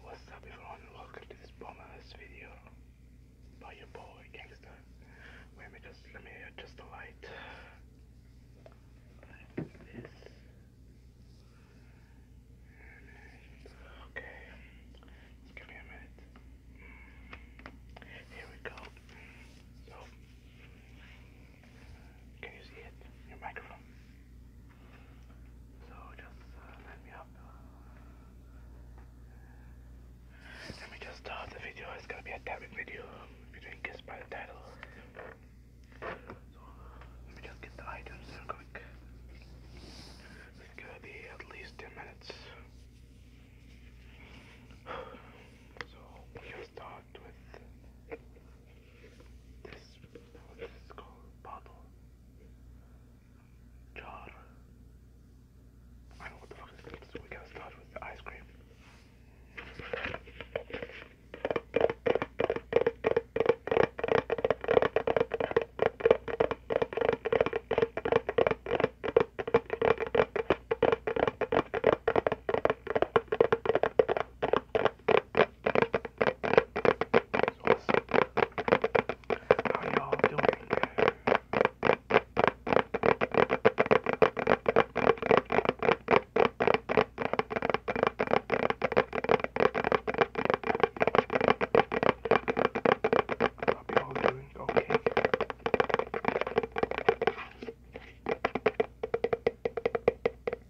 What's up everyone, welcome to this bonus video by your boy Gangster. let me just, let me adjust the light. Okay, give me a minute. Mm. Here we go. So, can you see it? Your microphone. So just uh, me up. Uh, let me just start the video. It's gonna be a tapping video. If you didn't guess by the title. So let me just get the items real quick. It's gonna be at least 10 minutes. So we'll start with this, this is called bottle. Jar. I don't know what the fuck is this, so we gotta start with the ice cream. What's up? How y'all doing? Hope y'all doing okay.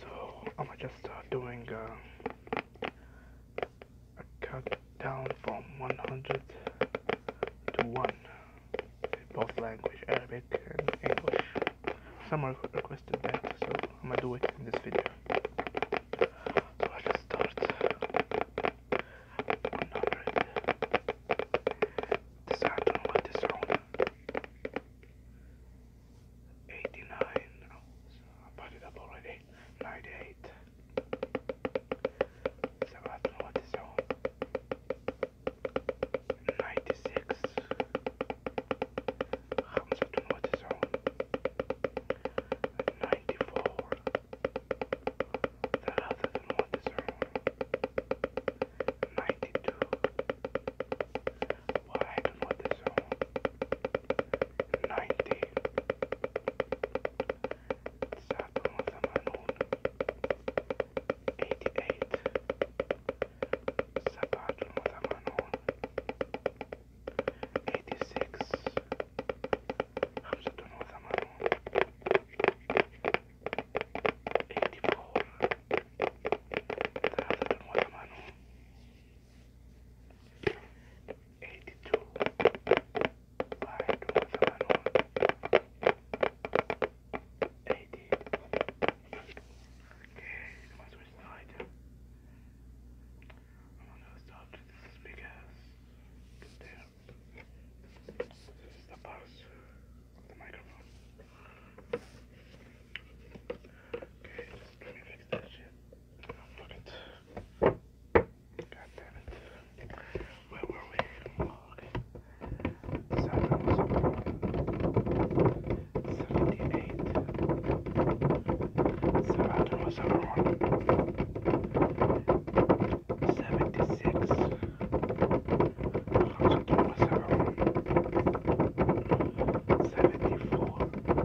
So I'm just uh, doing uh, cut down from 100 to 1 in both language Arabic and English some requested that so I'm gonna do it in this video so let's start 100 design what is wrong 89 I bought it up already date by date. So I don't know what is on. 96. Hamza don't know what is on. 94. The other don't know what is on. 92. Why well, I don't know what is on ninety. Saturn Zamanun eighty eight. Saturn Zamanun eighty six. Hamzatun Zamanun eighty four. Hamzatun Zamanun. 85 82 by Eighty. Okay, that's what it's like. I want to start with this as big as the bars the microphone. Okay, let me fix that shit. Fuck it. God damn it. Where were we? Oh, okay. Seven was up. Seventy-eight. Seven was up one. Seventy-six. Seventy-four.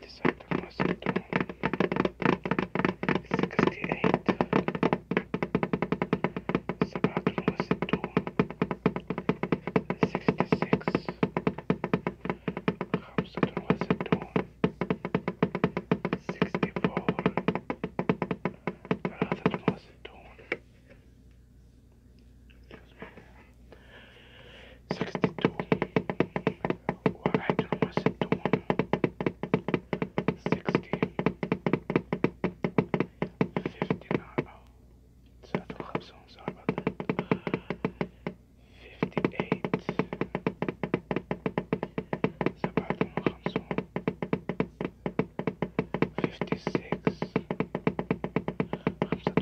Decide to listen to 68. Sabbath listen to 66. Hamster listen to 64. Rather listen to. Excuse me. 62 161 I don't have songs, sorry about that 58 سبعة وخمسون fifty six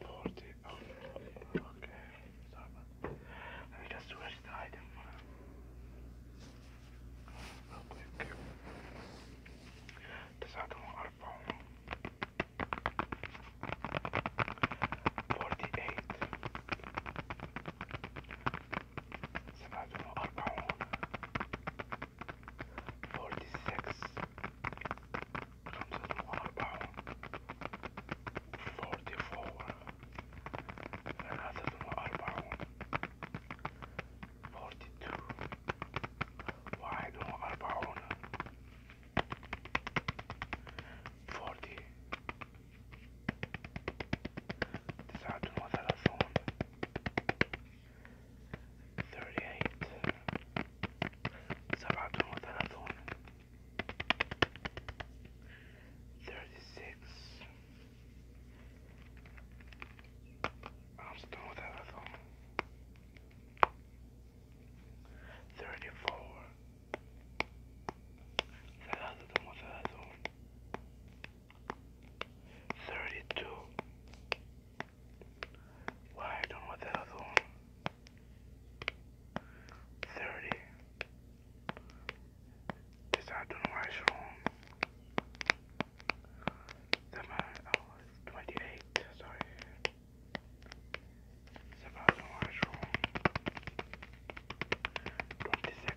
40. okay. Let me just search the item real This item are found. 48. سبعة وأربعون 46 comes at one pound 44 another one pound 42 wide one pound 40 تسعة وثلاثون 38 سبعة وثلاثون thirty six خمسة وثلاثون thirty four ثلاثة وثلاثون 32 why I don't want that other one 30 this I don't know why it's wrong my, oh, 28 sorry it's about the orange room. Twenty-six.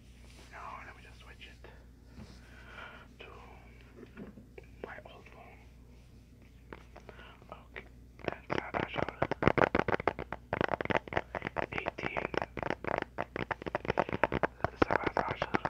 Now let me just switch it to my old phone. Okay, and I shall 18 16 خمسة عشر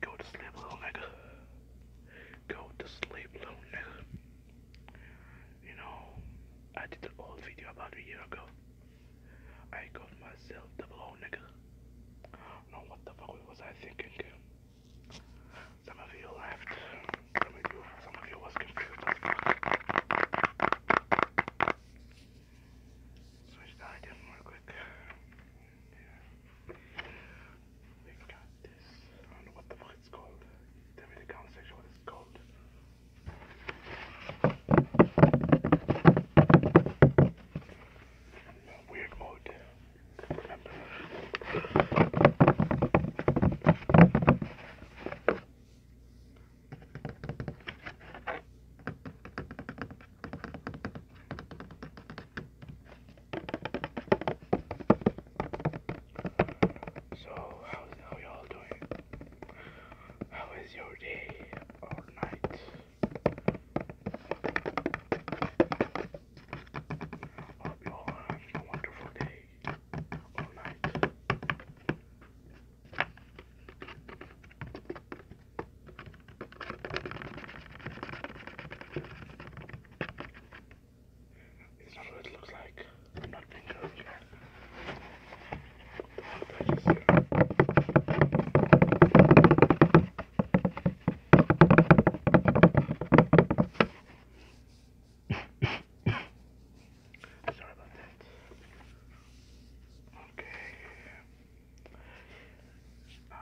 Go to sleep, little nigga. Go to sleep, little nigga. You know, I did an old video about a year ago. I called myself double O nigga. No, what the fuck was I thinking? Some of you laughed. some of you was confused. Switch the idea more quick. Yeah. We got this. I don't know what the fuck it's called. Tell me in the comment section what it's called. Weird mode. Remember. So, how, how y'all doing? How is your day or night? Hope you all have a wonderful day or night. It's not what it looks like. I'm not being curved yet. Sorry about that. Okay. Um,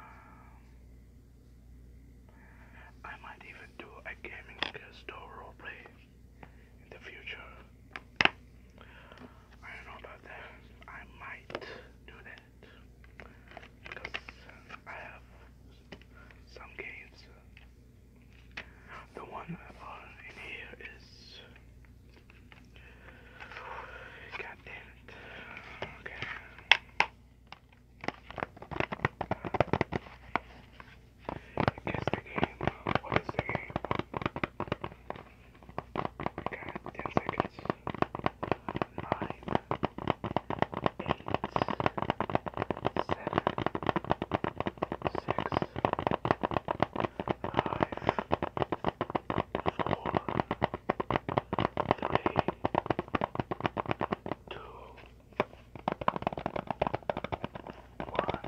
I might even do a gaming store roleplay in the future. I don't know about that. I might do that because I have some games. The one in here is God damn it. Okay. Guess the game. What is the game? Okay, 10 seconds. 9, 8, 7, six, five, four, three, two, one.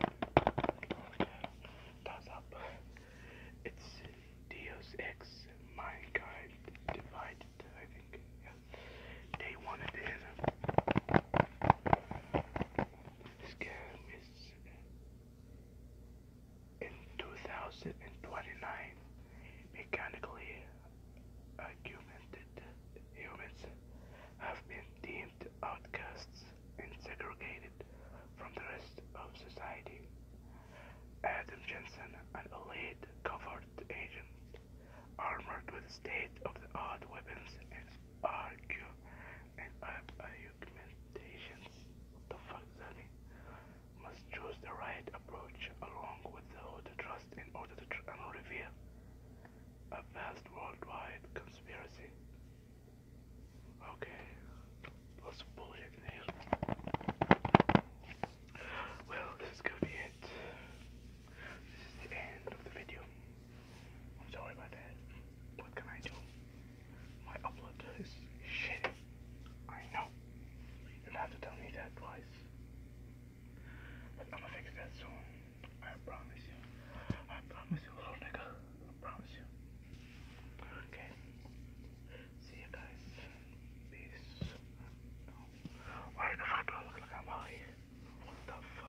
Okay, that's up. It's Deus Ex Mankind Divided, I think. Yeah. They wanted in. Scare in 2029, mechanically augmented humans have been deemed outcasts and segregated from the rest of society. Adam Jensen, an elite covert agent, armored with state-of-the-art weapons and argue and argue meditations. the fuck, Zanny? Must choose the right approach along with the, the trust in order to tr- a vast worldwide conspiracy. Okay, lots bullshit here. Well, this is gonna be it. This is the end of the video. I'm sorry about that. What can I do? My upload is shitty. I know. You'll have to tell me that twice. But I'm gonna fix that soon. I promise you. I promise you, little nigga. I promise you. Okay. See you guys. Peace. No. Why the fuck do I look like I'm high? What the fuck?